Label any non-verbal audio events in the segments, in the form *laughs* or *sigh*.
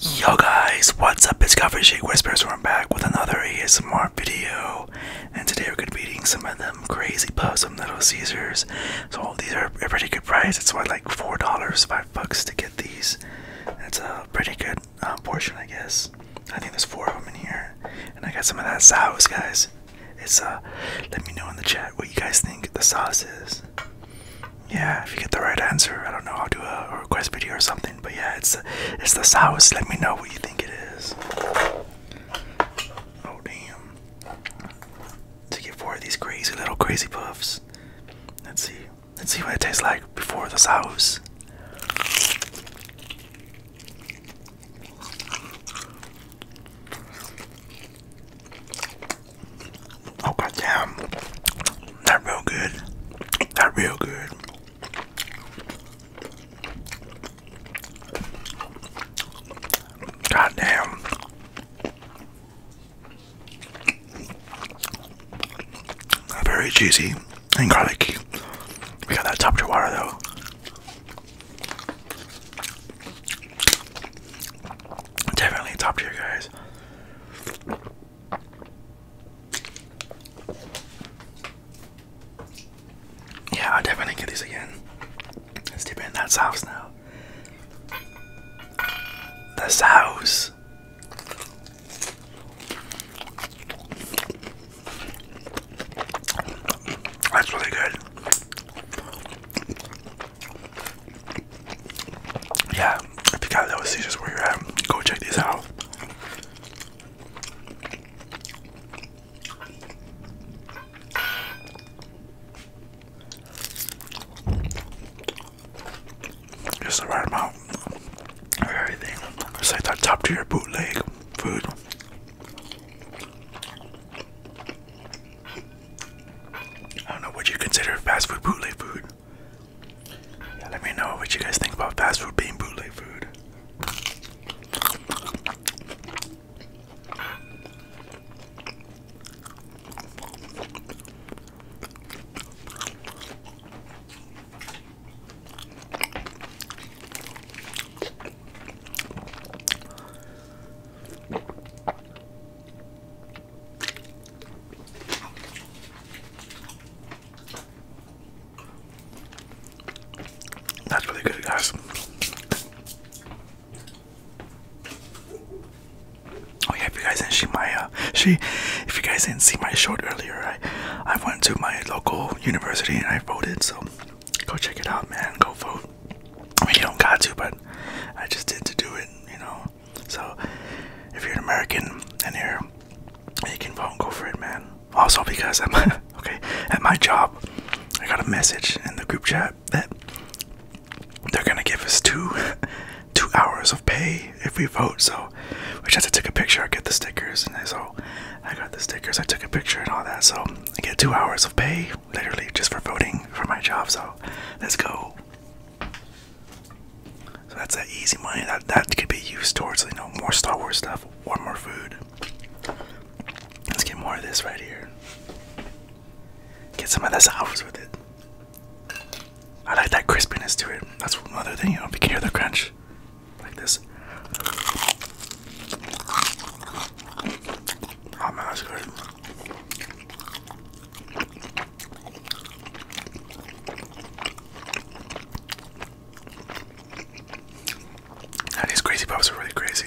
Yo guys, what's up? It's Coffee Shake Whispers. We're back with another ASMR video, and today we're gonna be eating some of them crazy possum Little Caesars. So these are a pretty good price. It's what like four dollars, five bucks to get these. That's a pretty good uh, portion, I guess. I think there's four of them in here, and I got some of that sauce, guys. It's uh, let me know in the chat what you guys think the sauce is yeah, if you get the right answer, I don't know, I'll do a request video or something. But yeah, it's it's the sauce. Let me know what you think it is. Oh damn! To get four of these crazy little crazy puffs. Let's see. Let's see what it tastes like before the sauce. Oh god damn. That real good. That real good. God damn. Very cheesy and garlicky. We got that top to water though. Definitely top tier, guys. Yeah, I'll definitely get these again. Let's dip in that sauce now. This sauce. That's really good. Yeah, if you got those seizures where you're at, go check these out. Just the right amount of everything. like that top tier bootleg food. I don't know what you consider fast food bootleg food. let me know what you guys think about fast food being bootleg food. That's really good, guys. Oh yeah, if you guys didn't see my uh, she, if you guys didn't see my short earlier, I, I went to my local university and I voted. So go check it out, man. Go vote. I mean, you don't got to, but I just did to do it, you know. So, if you're an American and here, you can vote and go for it, man. Also, because I'm *laughs* okay at my job, I got a message in the group chat that they're gonna give us two *laughs* two hours of pay if we vote. So, we just have to take a picture. I get the stickers, and so I got the stickers. I took a picture and all that. So I get two hours of pay literally just for voting for my job. So let's go. So that's that easy money that that could be used towards you know more Star Wars stuff or more food. Let's get more of this right here. Get some of this hours with it. I like that crispiness to it. That's one other thing, you know, if you can hear the crunch like this. Oh man, that's good. Now these crazy puffs are really crazy.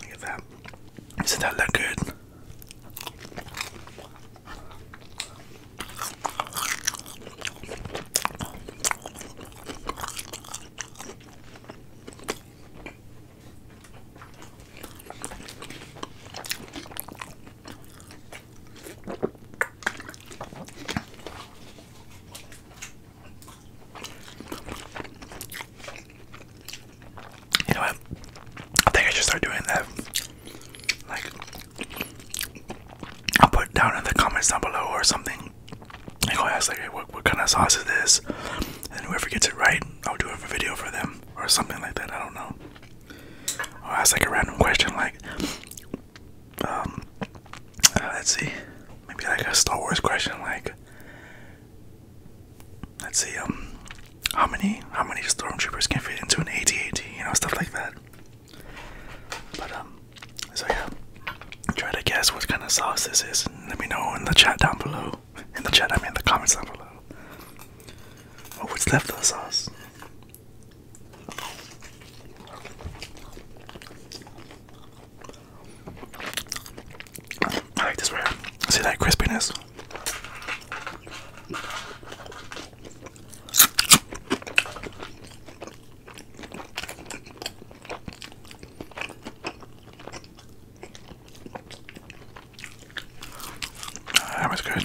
Look at that. Doesn't that look good? You know what? I think I should start doing that. Like, I'll put down in the comments down below or something. i go ask, like, oh, what, what kind of sauce is this? And whoever gets it right, I'll do a video for them or something like that. I don't know. I'll ask, like, a random question, like, um, uh, let's see. Maybe like a Star Wars question, like, let's see, um, how many how many stormtroopers can fit into an AT-AT, you know, stuff like that. But um, so yeah, try to guess what kind of sauce this is. Let me know in the chat down below. In the chat, I mean, in the comments down below. Oh, what's left of the sauce? I like this right See that crispiness? Ah, that was good.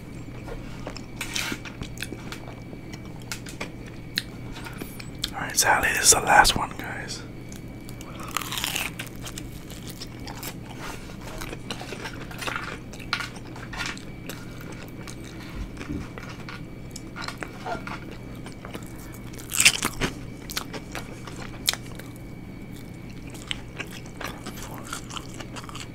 Alright, Sally. this is the last one, guys.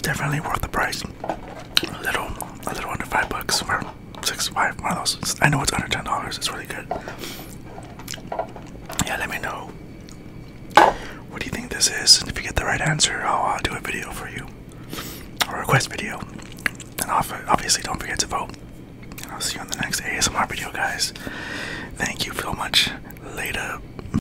definitely worth the price. A little, a little under five bucks for six, five. One of those. I know it's under ten dollars. It's really good. Yeah, let me know. What do you think this is? And if you get the right answer, I'll do a video for you, or a request video. And obviously, don't forget to vote. And I'll see you on the next ASMR video, guys. Thank you so much. Later.